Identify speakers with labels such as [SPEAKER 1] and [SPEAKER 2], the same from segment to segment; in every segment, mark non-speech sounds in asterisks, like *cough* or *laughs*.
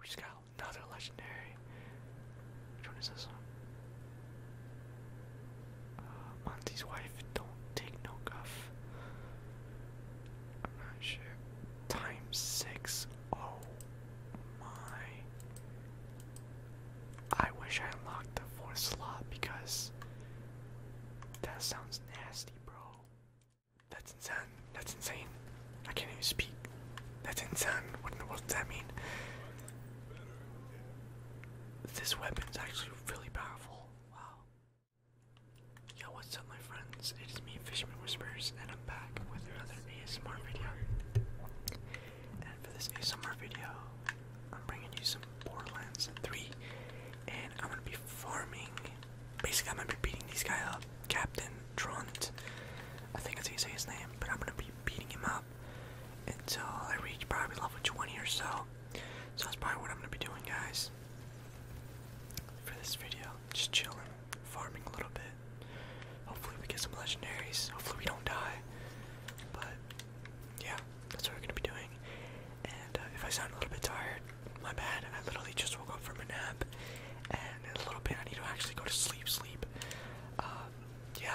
[SPEAKER 1] We just got another legendary. Which one is this one? Uh, Monty's wife don't take no guff. I'm not sure. Times six. Oh my. I wish I unlocked the fourth slot because that sounds nasty, bro. That's insane. That's insane. I can't even speak. That's insane. What does that mean? This weapon is actually really powerful. Wow. Yo, what's up, my friends? It is me, Fisherman Whispers, and I'm back with another ASMR video. And for this ASMR video, I'm bringing you some Borderlands 3, and I'm gonna be farming Basically, I'm gonna be beating this guy up, Captain Trunt. I think that's how you say his name, but I'm gonna be beating him up until I reach probably level 20 or so. So that's probably what I'm gonna be doing, guys, for this video. Just chilling, farming a little bit. Hopefully, we get some legendaries. Hopefully, we don't die. But yeah, that's what we're gonna be doing. And uh, if I sound a little bit tired, my bad, I literally just woke up from a nap, and in a little bit I need to actually go to sleep, sleep. Um, yeah,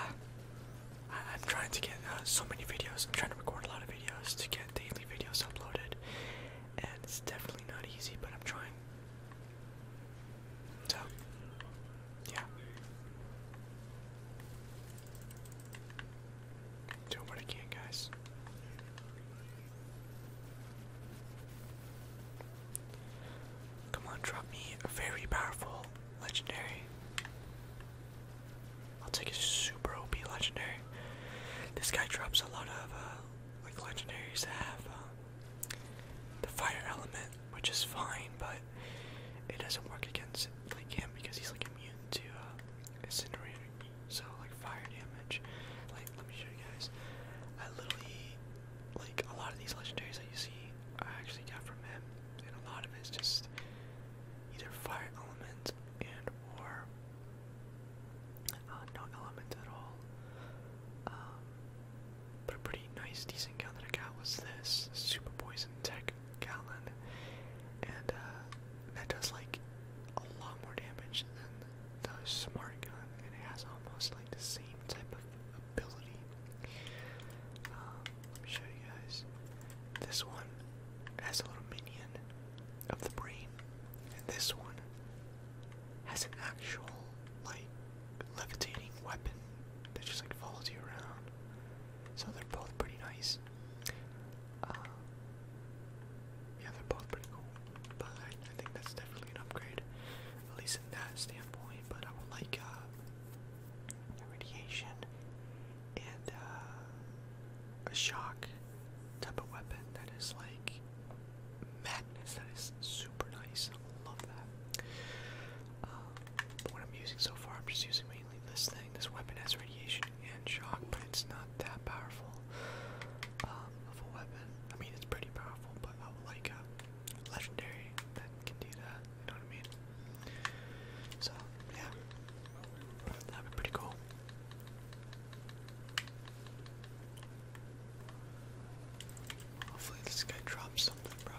[SPEAKER 1] I am trying to get uh, so many videos, I'm trying to record a lot of videos to get daily videos uploaded, and it's definitely not easy, but I'm trying. So, yeah. Do what I can, guys. Come on, drop me a very powerful legendary. I'll take a super OP legendary. This guy drops a lot of uh, like legendaries that have uh, the fire element, which is fine, but it doesn't work against like him because he's like immune to uh, incinerator, so like fire damage. Like let me show you guys. I literally like a lot of these legendaries that you see I actually got from him, and a lot of it's just either fire element and or uh, no element at all. Um, but a pretty nice, decent gun that I got was this super poison tech gallon, and uh, that does like a lot more damage than the smart gun, and it has almost like the same type of ability. Um, let me show you guys. This one has a little minion of the brain, and this one has an actual like levitating weapon that just like follows you around. So they're both pretty nice. Um, yeah, they're both pretty cool, but I, think that's definitely an upgrade, at least in that standpoint. But I would like a uh, radiation and uh, a shock type of weapon that is like madness. That is super nice. love that. Um, what I'm using so far, I'm just using mainly this thing. This weapon has radiation and shock, but it's not that powerful um, of a weapon. I mean, it's pretty powerful, but I would like a legendary that can do that. You know what mean? So yeah, that'd be pretty cool. Hopefully this guy drops something, bro.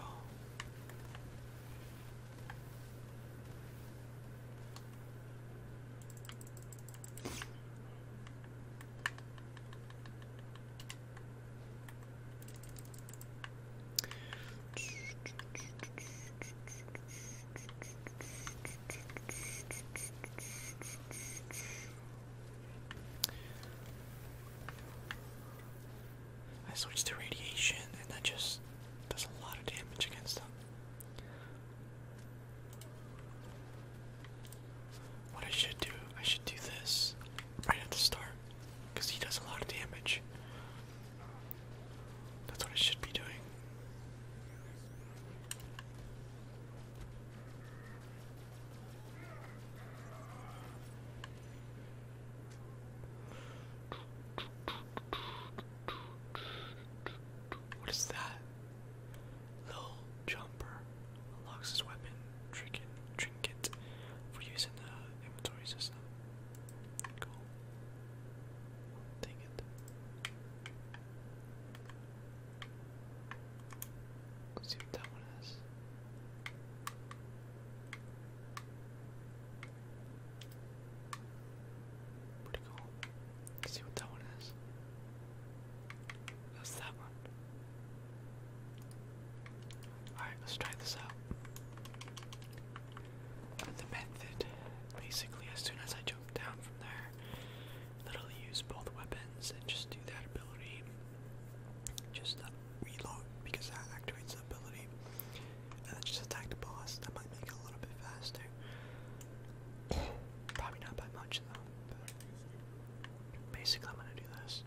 [SPEAKER 1] I switched to radiation and that just does a lot of damage against them. What I should do, I should do this right at the start, because he does a lot of damage. That's what I should be doing. What is that? Little jumper unlocks his weapon trinket trinket for using the inventory system. Cool. Take it. see what that one is. Pretty cool. Let's see what that one is. That's that one. Alright, let's try this out. The method basically, as soon as I jump down from there, literally use both weapons and just do that ability. Just uh, reload because that activates the ability and just attack the boss. That might make it a little bit faster. *coughs* Probably not by much though. basically, I'm gonna do this.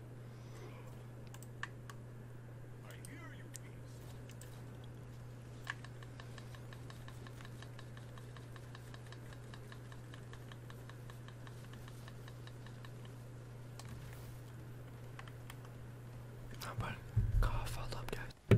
[SPEAKER 1] I hear you, i cough all up, guys.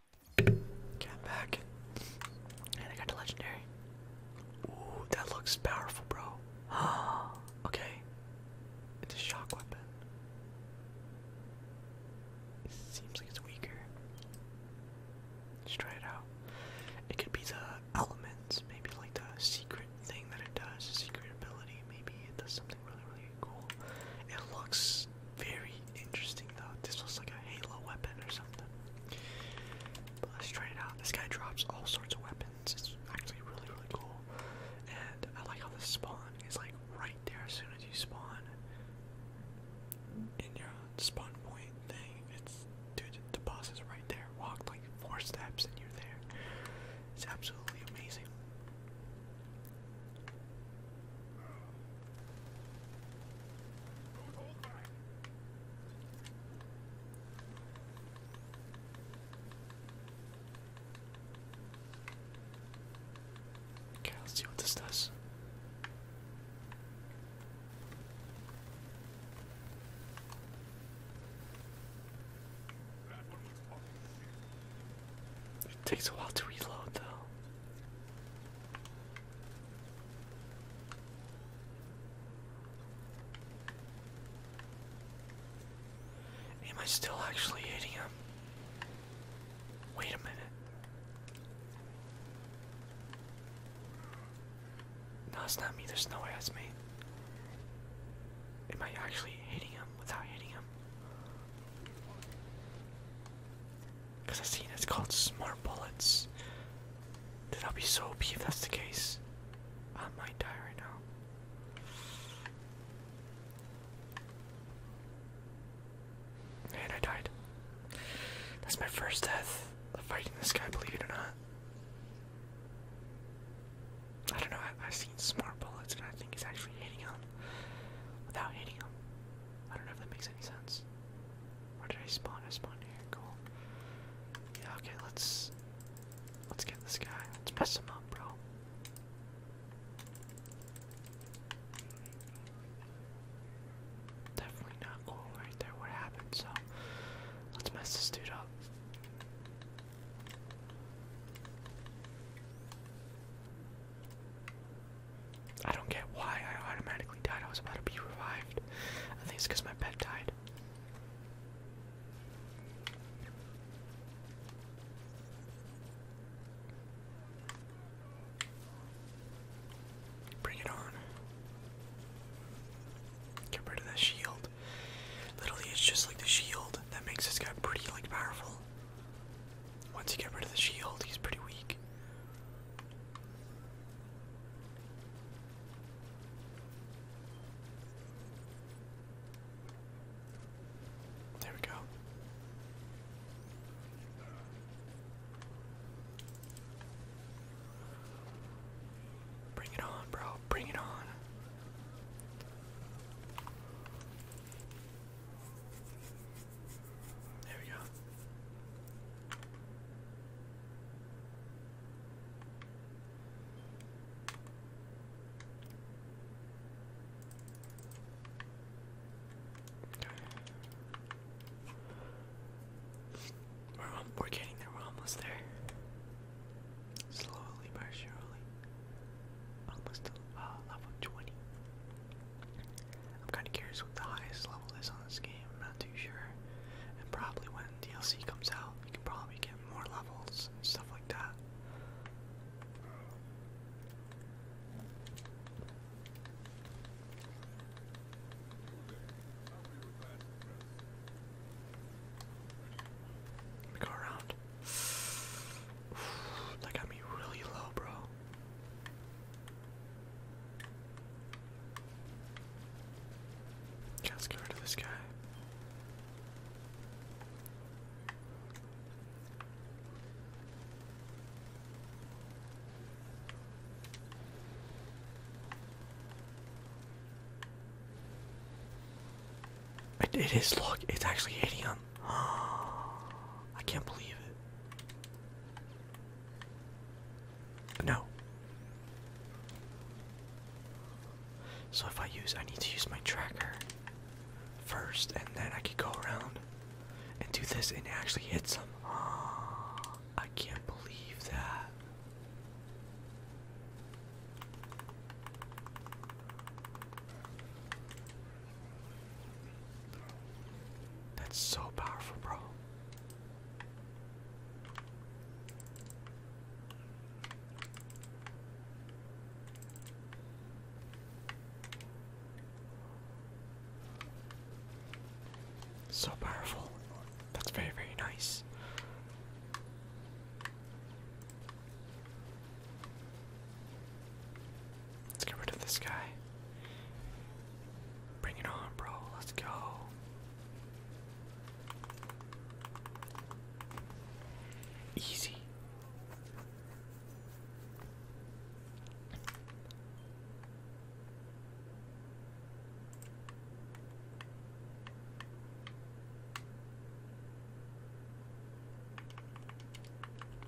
[SPEAKER 1] Okay, back. And I got the legendary. Ooh, that looks powerful, bro. *gasps* okay. It's a shock weapon. seems like it's weaker. Let's try it out. It could be the elements, maybe like the secret thing that it does, secret ability. Maybe it does something really, really cool. It looks very interesting though. This looks like a Halo weapon or something. But let's try it out. This guy drops all sorts of weapons. It's actually really, really cool. And I like how the spawn is like right there as soon as you spawn in your spawn point thing. It's dude, the boss is right there. Walk like four steps and you're there. It's absolutely amazing. Okay, let's see what this does. It takes a while to reload, though. Am I still actually hitting him? Wait a minute. No, it's not me. There's no way that's me. Am I actually hitting him without hitting him? Because i seen it's called smart bullets. Did i be so OP if that's the case. I might die right now. And I died. That's my first death fighting this guy, believe it or not. I don't know, I, I've seen smart bullets and I think he's actually hitting him without hitting him. I don't know if that makes any sense. Where did I spawn? I spawned here. Cool. Yeah. Okay. Let's let's get this guy. Let's mess him up, bro. Definitely not cool right there. What happened? So let's mess this dude up. I don't get why I automatically died. I was about to be revived. I think it's because my pet died. Bring it on. Get rid of that shield. Literally, it's just like the shield that makes this guy pretty like powerful. Once you get rid of the shield, he's pretty weak. There we go. Bring it on, bro. Bring it on. There we go. We're, we're getting there, we're almost there. Slowly but surely. Almost to uh, level 20. I'm kind of curious what the highest level is on this game. I'm not too sure. And probably when DLC comes out, you can probably get more levels and stuff like that. Let me go around. *sighs* that got me really low, bro. Okay, let's get rid of this guy. it is, look, it's actually hitting him. *gasps* I can't believe it. No. So if I use, I need to use my tracker first, and then I can go around and do this and actually hit some. Ah, I can't believe that. That's so powerful, bro. So powerful. That's very, very nice. Let's get rid of this guy. Bring it on, bro. Let's go. Easy.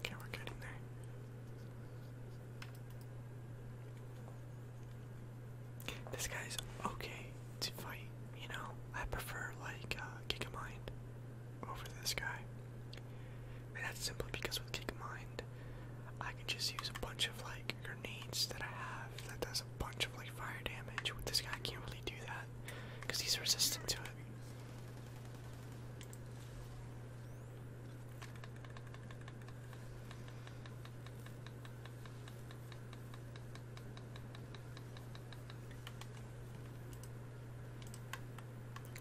[SPEAKER 1] Okay, we're getting there. This guy's okay to fight, you know. I prefer like uh, Mind over this guy, and that's simply because with Kick Mind, I can just use a bunch of like grenades that I have that does a bunch of like fire damage. With this guy, I can't really do that because he's resistant to it.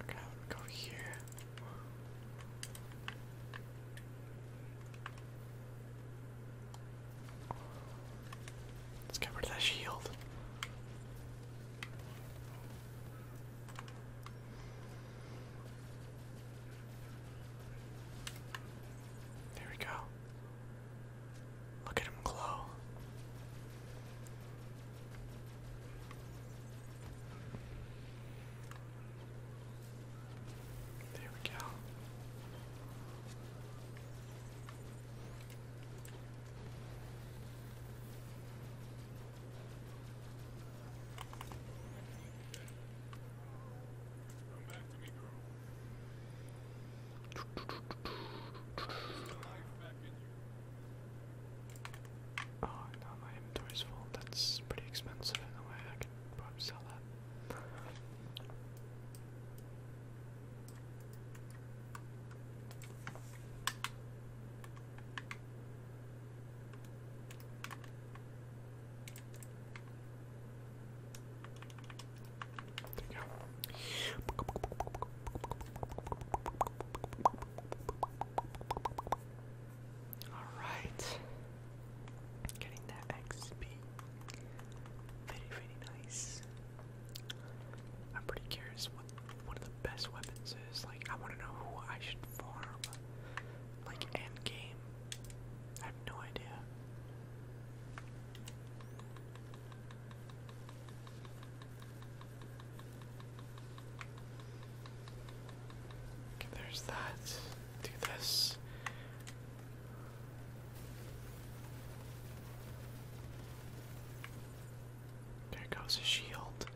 [SPEAKER 1] Okay, go here. Let's get rid of that shield. There we go. Look at him glow. There we go. Oh, now my inventory's full. That's pretty expensive in the way. I can probably sell that. There you go. Alright. Getting that XP. Very, very nice. I'm pretty curious one of the best weapons is. Like, I want to know who I should farm. Like, end game. I have no idea. there's that. Do this. There goes his shield.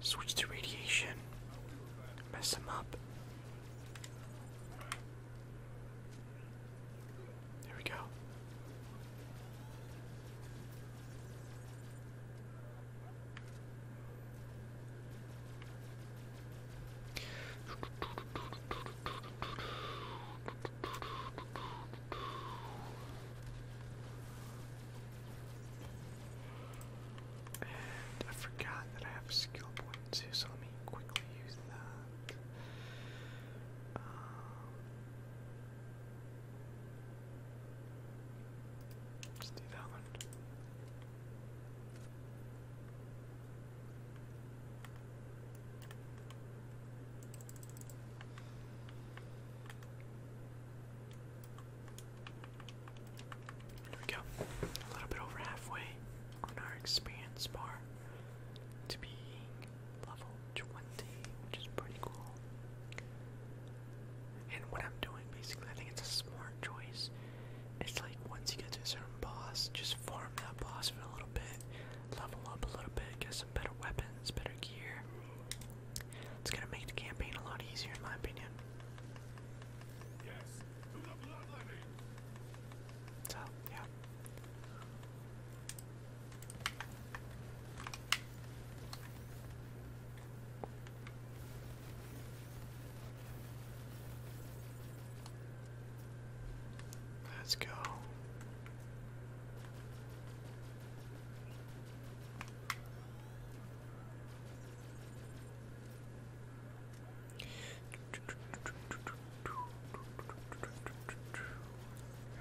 [SPEAKER 1] Switch to radiation. Mess him up. There we go. I forgot that I have a skill point too, so let me quickly use that. Um, do that one. There we go. A little bit over halfway on our experience bar to being level 20, which is pretty cool. And what I'm doing basically, I think it's a smart choice. It's like once you get to a certain boss, just farm that boss for a little bit, level up a little bit, get some better weapons, better gear, it's gonna make the campaign a lot easier, in my opinion. So, yeah. Let's go.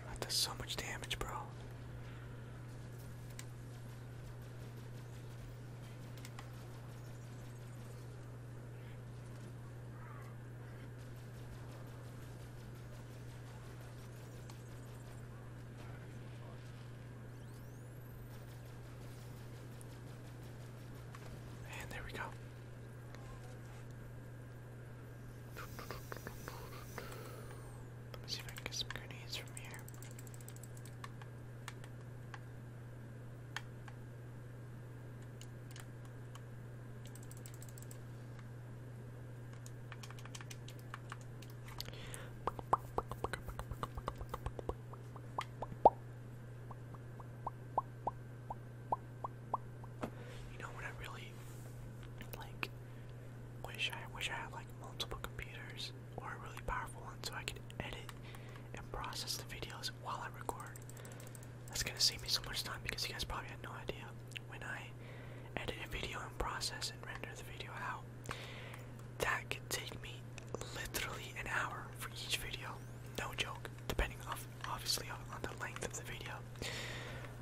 [SPEAKER 1] That does so much damage, bro. And there we go. Let me see if I can get some grenades from here. You know what I really like wish I wish I had like multiple computers or a really powerful one so I could edit and process the videos while I record. That's gonna save me so much time because you guys probably had no idea when I edit a video and process and render the video out, that could take me literally an hour for each video, no joke, depending off obviously on the length of the video.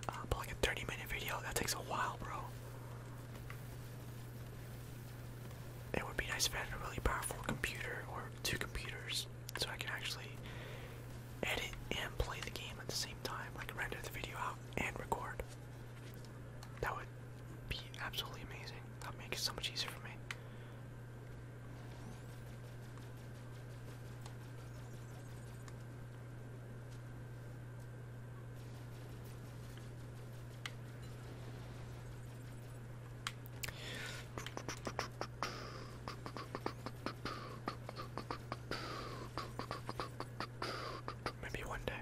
[SPEAKER 1] Uh, but like a 30 minute video, that takes a while, bro. It would be nice if I had a really powerful computer or two computers so I can actually edit and play the game at the same time, like render the video out and record. That would be absolutely amazing. That would make it so much easier for me. Maybe one day.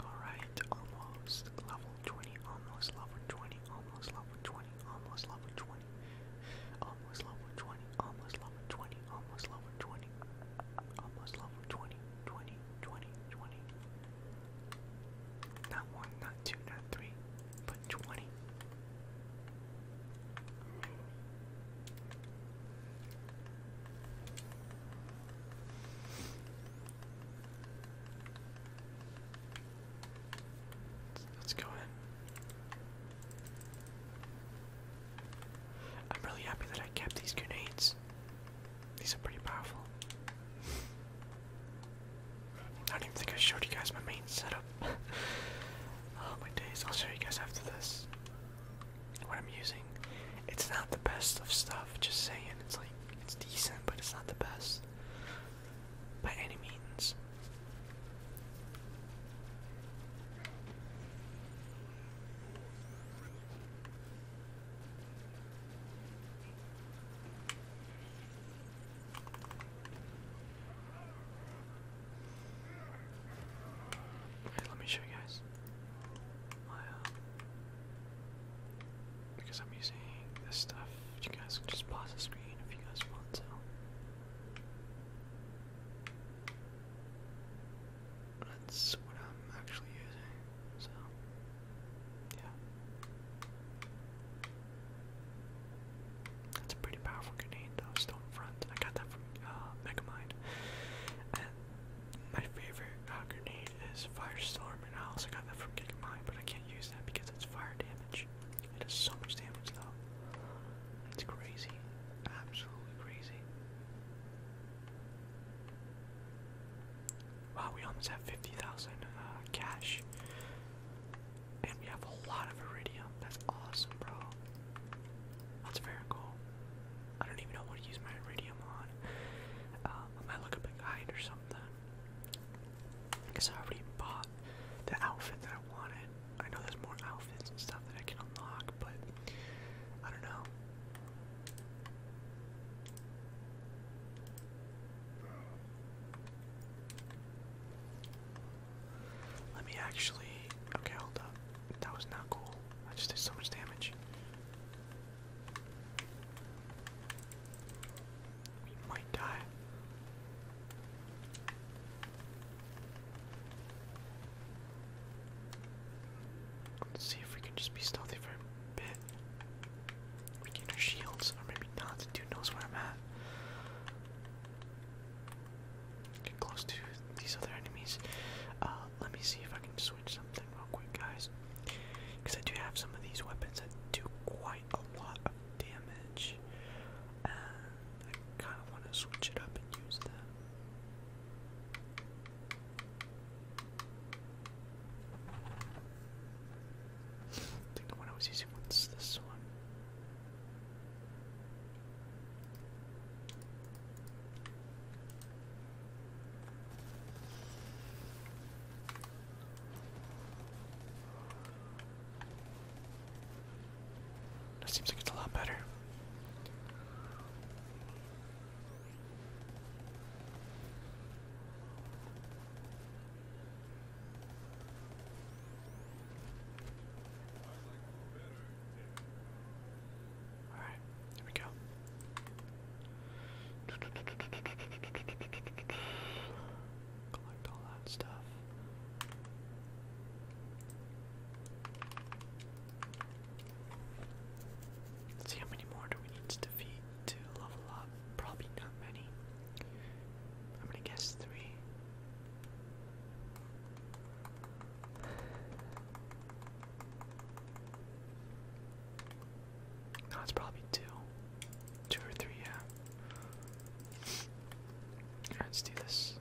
[SPEAKER 1] All right, almost level 120, almost level 20, almost level 20, almost level 20, almost level 20, almost level 20, almost level 20, almost level 20, 20, 20, 20. Not one, not two, not three, but 20. Let's go in. I'm really happy that I kept these grenades. These are pretty powerful. I don't even think I showed you guys my main setup. *laughs* oh my days, I'll show you guys after this what I'm using. It's not the best of stuff, just saying. It's like, it's decent, but it's not the best by any means. let me show you guys. Uh, because I'm using this stuff. You guys can just pause the screen if you guys want to. That's what I'm actually using, so yeah. That's a pretty powerful grenade though, Stone Front. I got that from uh, Megamind. And my favorite uh, grenade is Firestorm I also got that from Kick but I can't use that because it's fire damage. It does so much damage though. It's crazy. Absolutely crazy. Wow, we almost have 50,000 uh, cash. And we have a lot of iridium. That's awesome, bro. That's very cool. I don't even know what to use my iridium on. Uh, I might look up a guide or something. I guess I already bought the outfit that I wanted. I know there's more outfits and stuff that I can unlock, but I don't know. Let me actually. Okay, hold up. That was not cool. I just did so much damage. We might die. see if we can just be stealthy for a bit. We get our shields, or maybe not. dude knows where I'm at. Get close to these other enemies. Uh, let me see if I can switch something real quick, guys. Because I do have some of these weapons that do quite a lot of damage, I kind of want to switch it up and use them. I think the one I was using was this one. That seems like it's a lot better. All right, there we go. Collect all that stuff. see how many more do we need to defeat to level up? Probably not many. I'm gonna guess three. No, it's probably two. Two or three, yeah. Let's do this.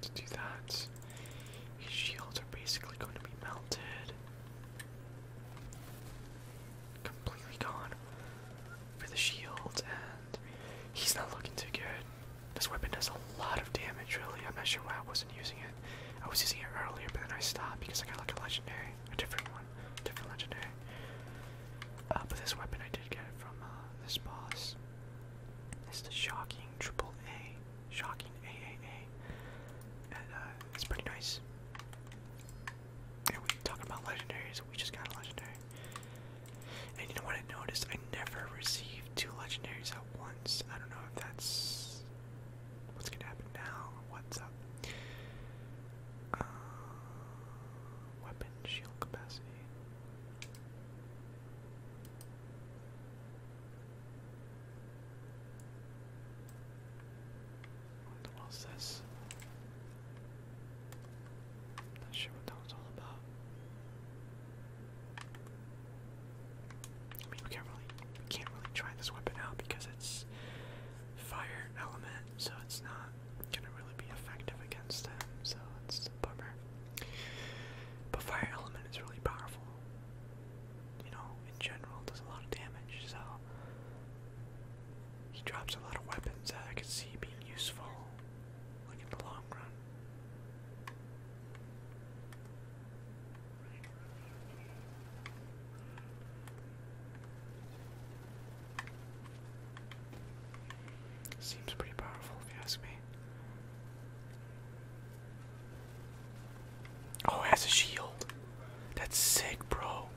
[SPEAKER 1] Let's do that. His shields are basically going to be melted completely gone for the shield, and he's not looking too good. This weapon does a lot of damage, really. I'm not sure why I wasn't using it. I was using it earlier, but then I stopped because I got like a legendary, a different one, different legendary. Uh, but this weapon I did get it from uh, this boss. It's the shocking triple A, shocking AAA, and uh, it's pretty nice. And we talking about legendaries, we just got a legendary. And you know what I noticed? I never received two legendaries at once. I don't know if that's what's gonna happen now what's up. Uh, weapon shield capacity. What was this? Not sure what that was all about. I mean, we can't really, we can't really try this weapon out because it's fire element, so it's not gonna really be effective against them. So it's a bummer. But fire element is really powerful. You know, in general, does a lot of damage. So he drops a lot of weapons that I could see being useful, like in the long run. Seems pretty powerful if you ask me. Oh, it has a shield. That's sick, bro.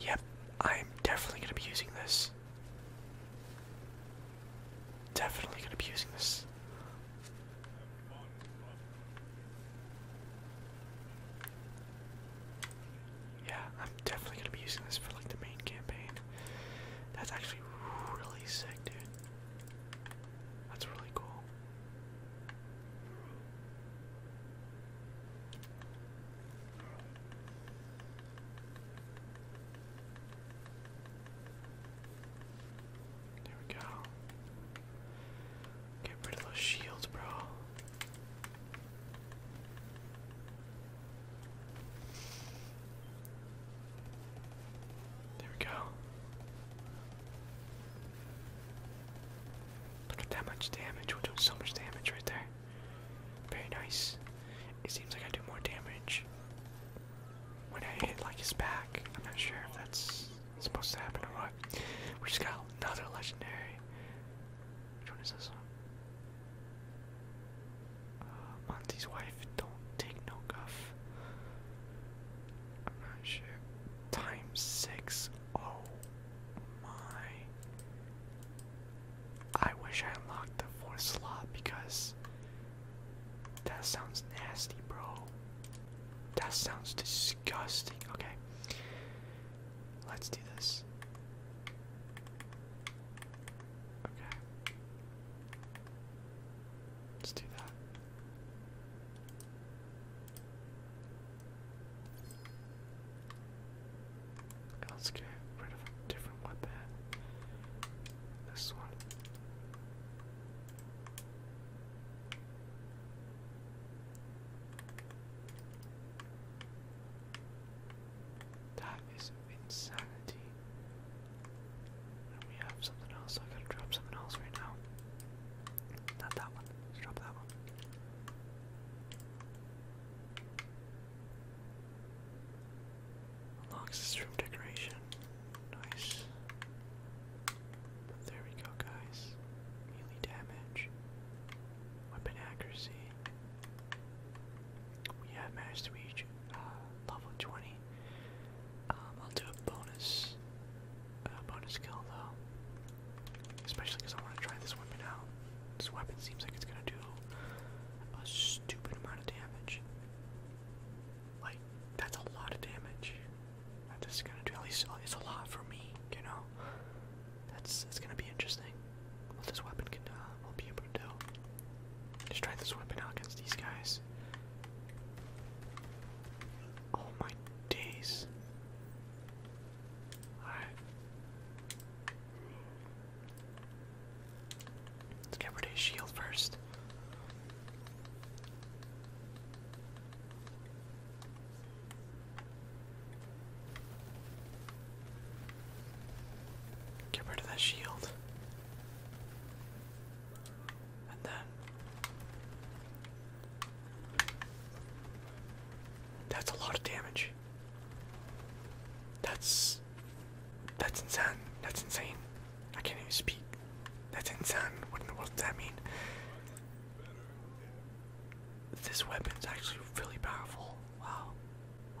[SPEAKER 1] Yep, I'm definitely gonna be using this. Definitely gonna be using this. Yeah, I'm definitely gonna be using this for like the main campaign. That's actually really sick, dude. That's really cool. There we go. Get rid of those shields, bro. There we go. Look at that much damage. We're doing so much damage right there. Very nice. It seems like I do more damage when I hit like his back. I'm not sure if that's supposed to happen or what. We just got another legendary. Which one is this one? Uh, Monty's wife. Don't take no guff. I'm not sure. Times six. Oh my. I wish I unlocked the fourth slot because that sounds nasty, bro. That sounds disgusting. Okay. Let's do this. Okay. Let's do that. Let's get rid of a different weapon. This one. That is insanity. we have something else. I gotta drop something else right now. Not that one. drop that one. Unlocks room decoration. Nice. There we go, guys. Melee damage. Weapon accuracy. We have managed uh, level 20. Um, I'll do a bonus bonus kill though. Especially I want to try this weapon out. This weapon seems like it's gonna do a stupid amount of damage. Like, that's a lot of damage. This gonna do at least uh, it's a lot for me, you know. That's it's gonna be interesting. What this weapon can uh, will be able to do. Just try this weapon out against these guys. Oh my days. Alright. Let's get rid of his shield first. Get rid of that shield and then that's a lot of damage. That's that's insane. That's insane. I can't even speak. That's insane. What in the world does that mean? This weapon is actually really powerful. Wow.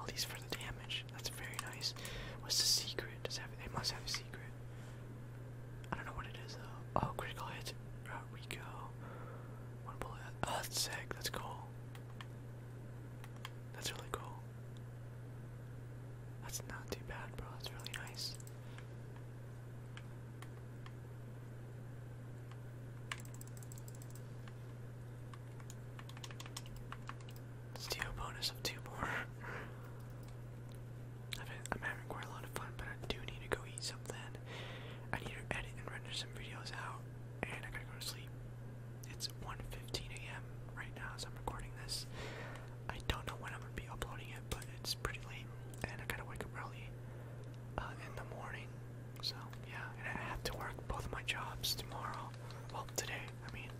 [SPEAKER 1] At least for the damage. That's very nice. What's the secret? Does have, it must have a secret. I don't know what it is though. Oh, critical hit. Out we go. One bullet. Oh, that's sick. That's cool. That's really cool. That's not too bad, bro. That's really nice. let bonus of two more. *laughs* I'm having quite a lot of fun, but I do need to go eat something. I need to edit and render some videos out, and I gotta go to sleep. It's 1.15 a.m. right now as I'm recording this. I don't know when I'm gonna be uploading it, but it's pretty late, and I gotta wake up early uh, in the morning. So yeah, I have to work both my jobs tomorrow. Well, today, I mean.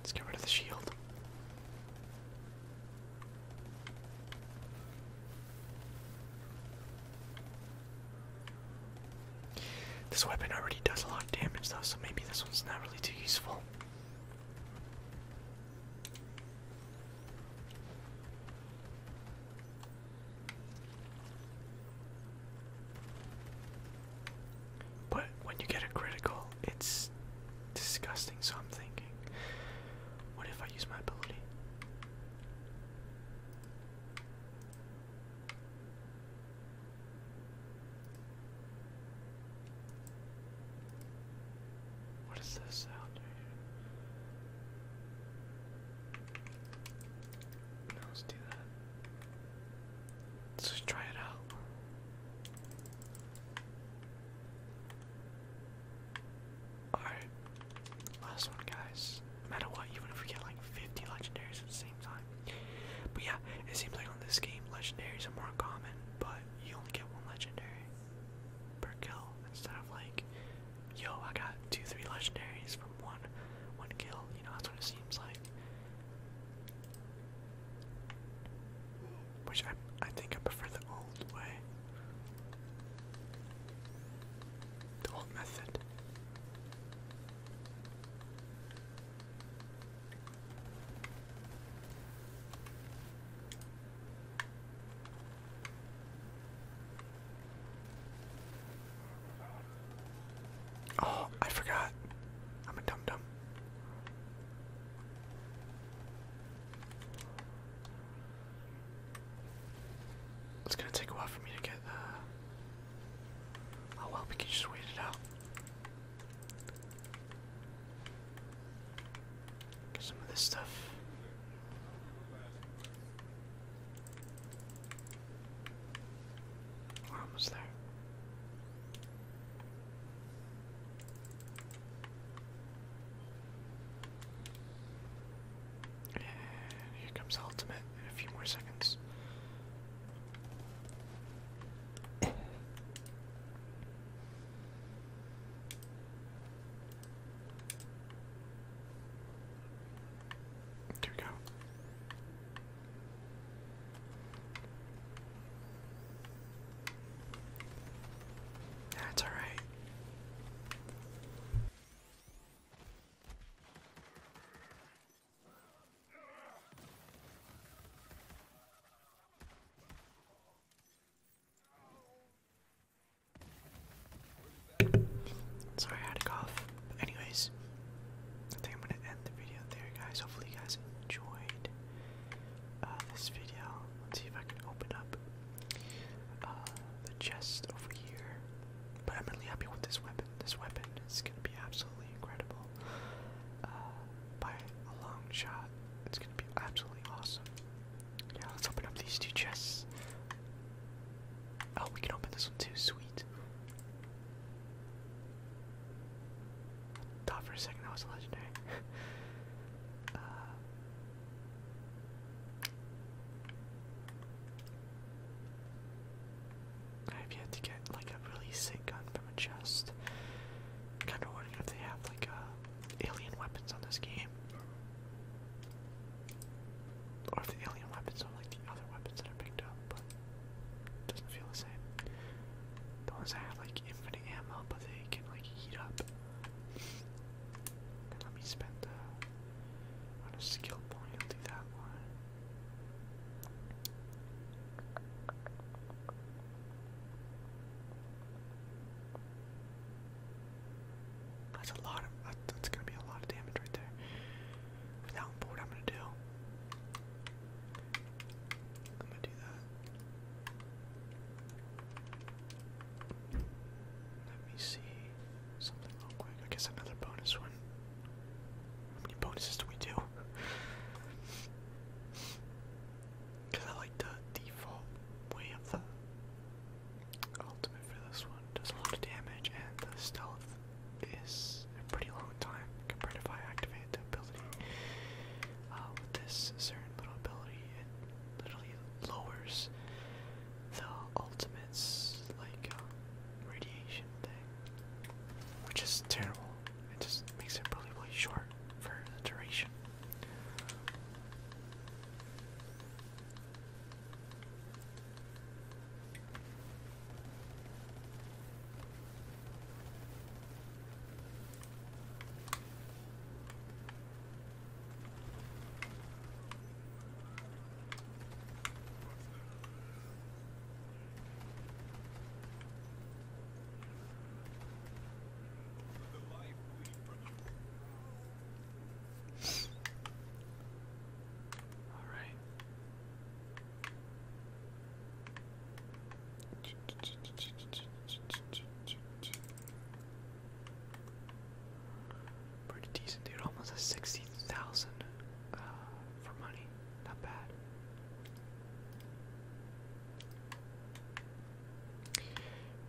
[SPEAKER 1] Let's get rid of the shield. This weapon already does a lot of damage though, so maybe this one's not really too useful. But when you get a critical, it's disgusting, so I'm thinking, what if I use my ability? What is this sound? let's do that. Let's try it out. Alright. Last one, guys. No matter what, even if we get like 50 legendaries at the same time. But yeah, it seems like on this game, legendaries are more common, but you only get one legendary per kill instead of like, yo, I got two, three legendaries from one, one kill. You know, that's what it seems like. Which I, I think I prefer the old way. The old method. Oh, I forgot. I'm a dum dum. It's gonna take a while for me to get. Uh... Oh well, we can just wait it out. Some of this stuff. We're almost there. And here comes the ultimate in a few more seconds. There we go. That's all right. Sorry, I had a cough. But anyways, I think I'm gonna end the video there, guys. Hopefully, you guys enjoyed uh, this video. Let's see if I can open up uh, the chest over here. But I'm really happy with this weapon. This weapon is gonna be absolutely incredible. Uh, by a long shot. It's gonna be absolutely awesome. Yeah, let's open up these two chests. Oh, we can open this one too, sweet. Thought for a second that was a legendary. *laughs* Uh, I've yet to get like a really sick gun from a chest. kinda wondering if they have like uh, alien weapons on this game. Or if the alien weapons are like the other weapons that I picked up, but doesn't feel the same. The ones that have like infinite ammo but they can like heat up. let me spend uh, a skill point, i that one. That's a lot of, that's gonna be a lot of damage right there. what I'm gonna do, I'm gonna do that. Let me see something real quick. I guess another bonus one. How many bonuses do we do? Because I like the default way of the ultimate for this one. Does a lot of damage, and the stealth is a pretty long time compared if I activate the ability. Uh, with this certain little ability, it literally lowers the ultimate's like uh, radiation thing, which is terrible. It just makes it really, really short for the duration. All right. Pretty decent, dude. Almost a sixty thousand uh, for money. Not bad.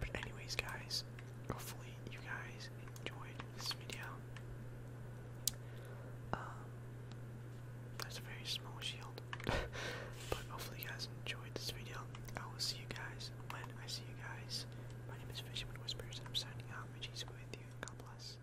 [SPEAKER 1] But anyways, guys, hopefully you guys enjoyed this video. Um, that's a very small shield, *laughs* but hopefully you guys enjoyed this video. I will see you guys when I see you guys. My name is Fisherman Whispers, and I'm signing out. May Jesus with you. God bless.